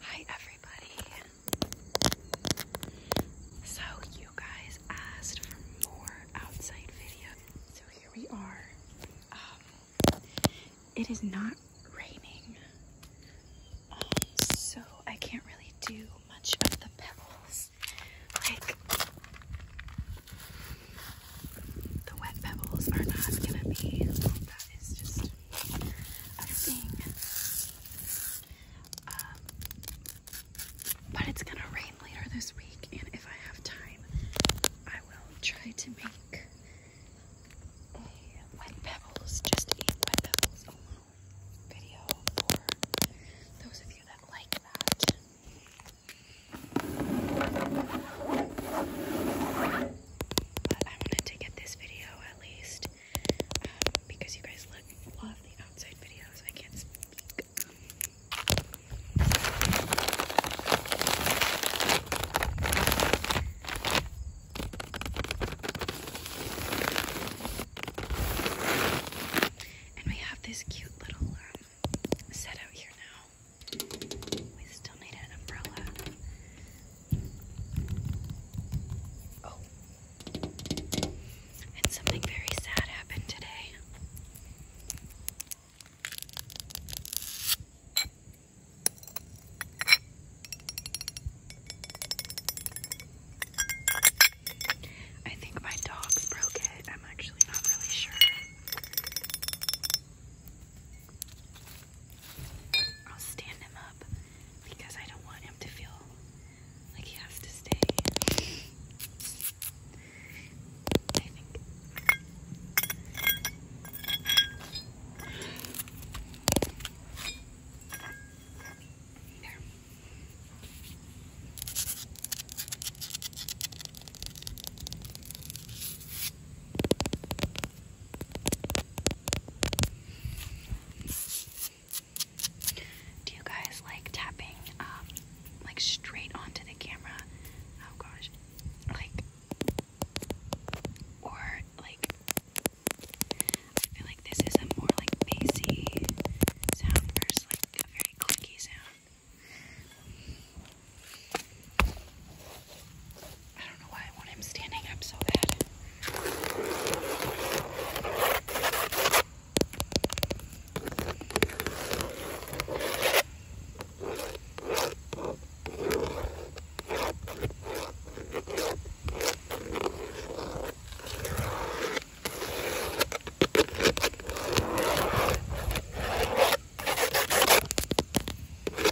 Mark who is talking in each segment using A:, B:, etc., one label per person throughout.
A: Hi everybody. So you guys asked for more outside video. So here we are. Um, it is not raining. Um, so I can't really do much of the pebbles. Like um, but it's gonna rain later this week, and if I have time, I will try to make a wet pebbles, just eat wet pebbles video for those of you that like that. But I wanted to get this video at least um, because you guys love the outside videos. I can't speak. And we have this cute little um, set out here now. We still need an umbrella. Oh. And something very sad happened today. I think my dog broke it. I'm actually not really sure. I'll stand him up because I don't want him to feel like he has to stay. I think. There. Do you guys like tapping, um, like straight onto the camera? Oh gosh, like, or like, I feel like this is a more like bassy sound versus like a very clicky sound. I don't know why I want him standing up so bad.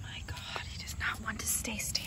A: My God, he does not want to stay standing.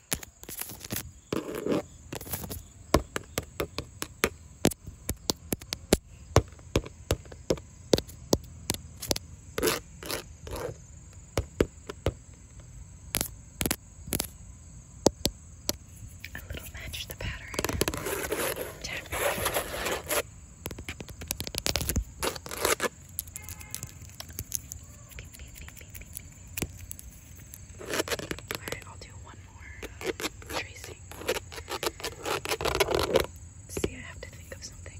A: A little match the pattern. Tap. Alright, I'll do one more uh, tracing. See, I have to think of something.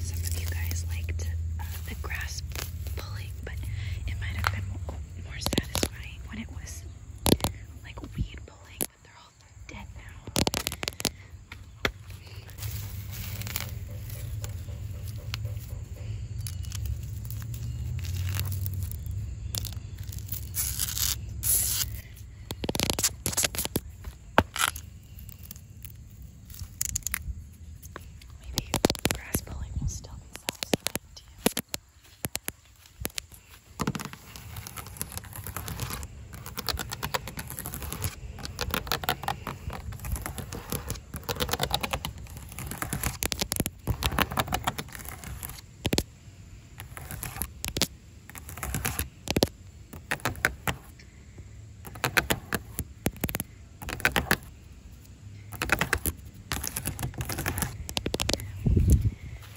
A: Some of you guys liked uh, the grass pulling, but it might have been more, more satisfying when it was like weed pulling, but they're all dead now. Maybe grass pulling will still be satisfying to you. I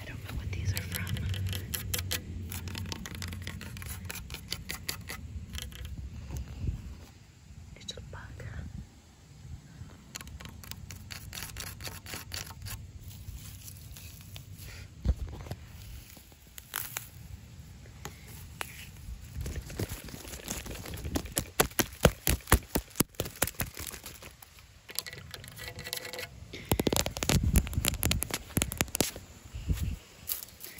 A: don't know what these are from. Little bug.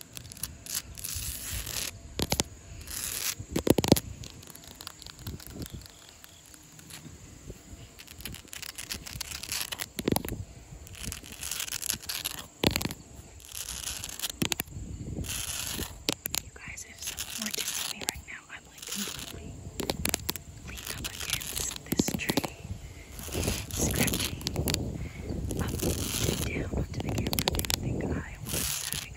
A: You guys, if someone were me right now, I'm like completely leaned against this tree, scratching up and down onto the camera. They think I was having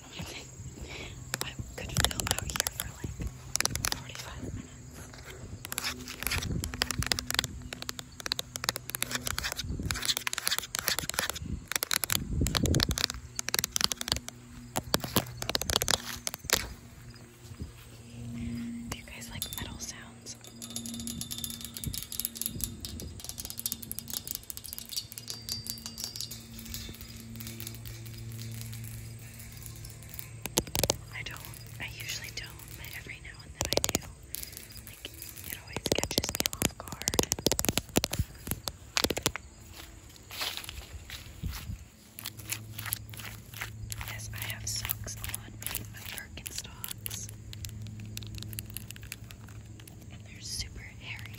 A: do I'm saying. I could film here for like 45 minutes. you guys like metal sounds? I don't, I usually don't, but every now and then I do. it always catches me off guard. Yes, I have socks on my Birkenstocks. And they're super hairy.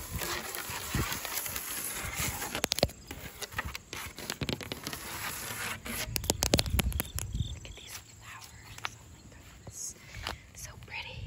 A: Look at these flowers. Oh my goodness. So pretty.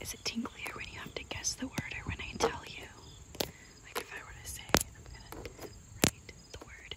A: Is it tinglier when you have to guess the word or when I tell you? Like if I were to say, I'm gonna write the word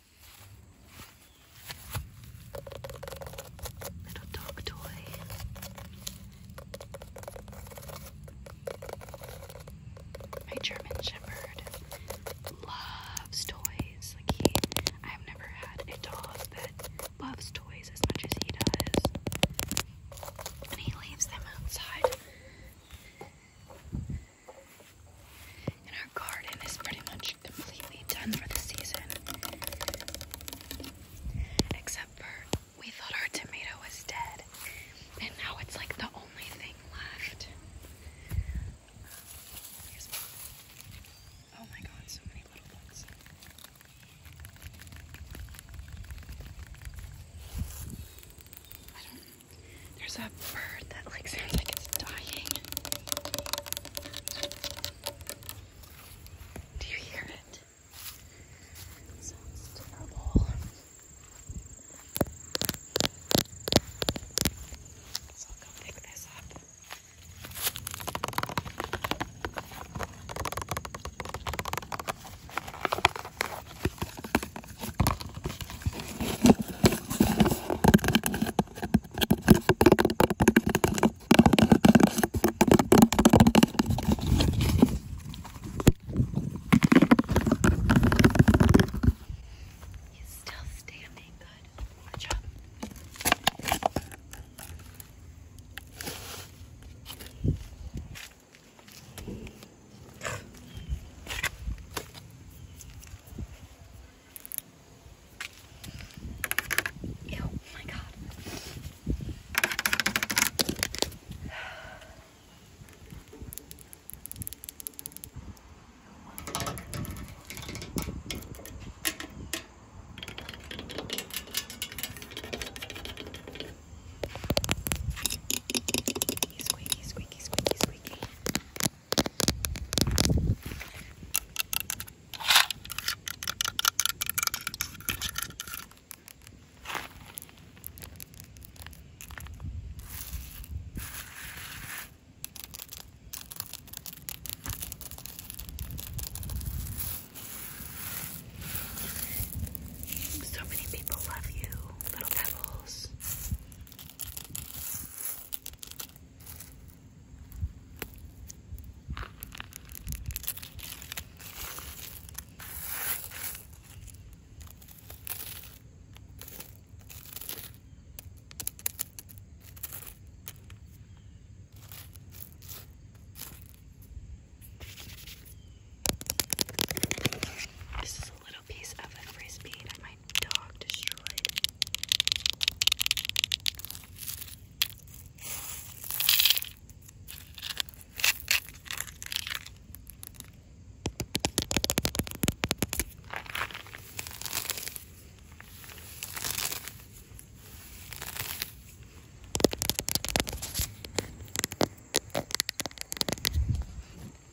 A: Little dog toy. My German Shepherd loves toys. Like he, I've never had a dog that loves toys as much as he does. And he leaves them outside. And our garden is pretty much completely done for the season. Except for we thought our tomato was dead. And now it's like the only thing left. Oh my god, so many little bugs. There's a bird that like sounds like it's dying. Do you hear it? sounds terrible. So I'll pick this up. He's still standing good. Watch out. Ew, oh my god. Squeaky, squeaky, squeaky, squeaky. So many people love you, little pebbles. This is a little piece of a frisbee that my dog destroyed.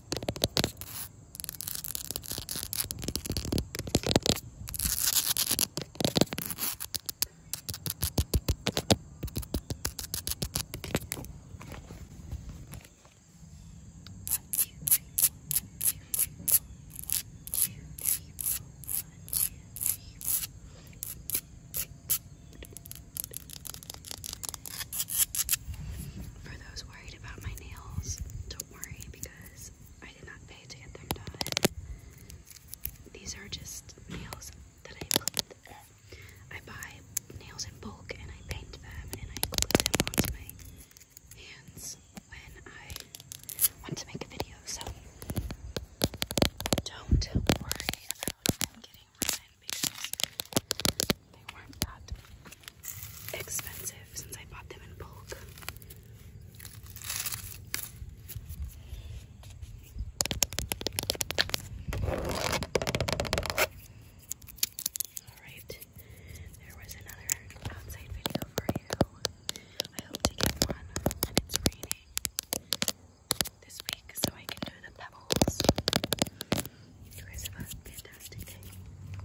A: For those worried about my nails, don't don't worry because I did not pay to get them done. These are just nails that I clipped. I buy nails in bulk and I paint them and I glue them onto my hands when I want to make a video. So don't worry about them getting ruined because they weren't that expensive since I bought them in bulk. Alright, there was another outside video for you. I hope to get one, and it's raining this week so I can do the pebbles. You guys have a fantastic day.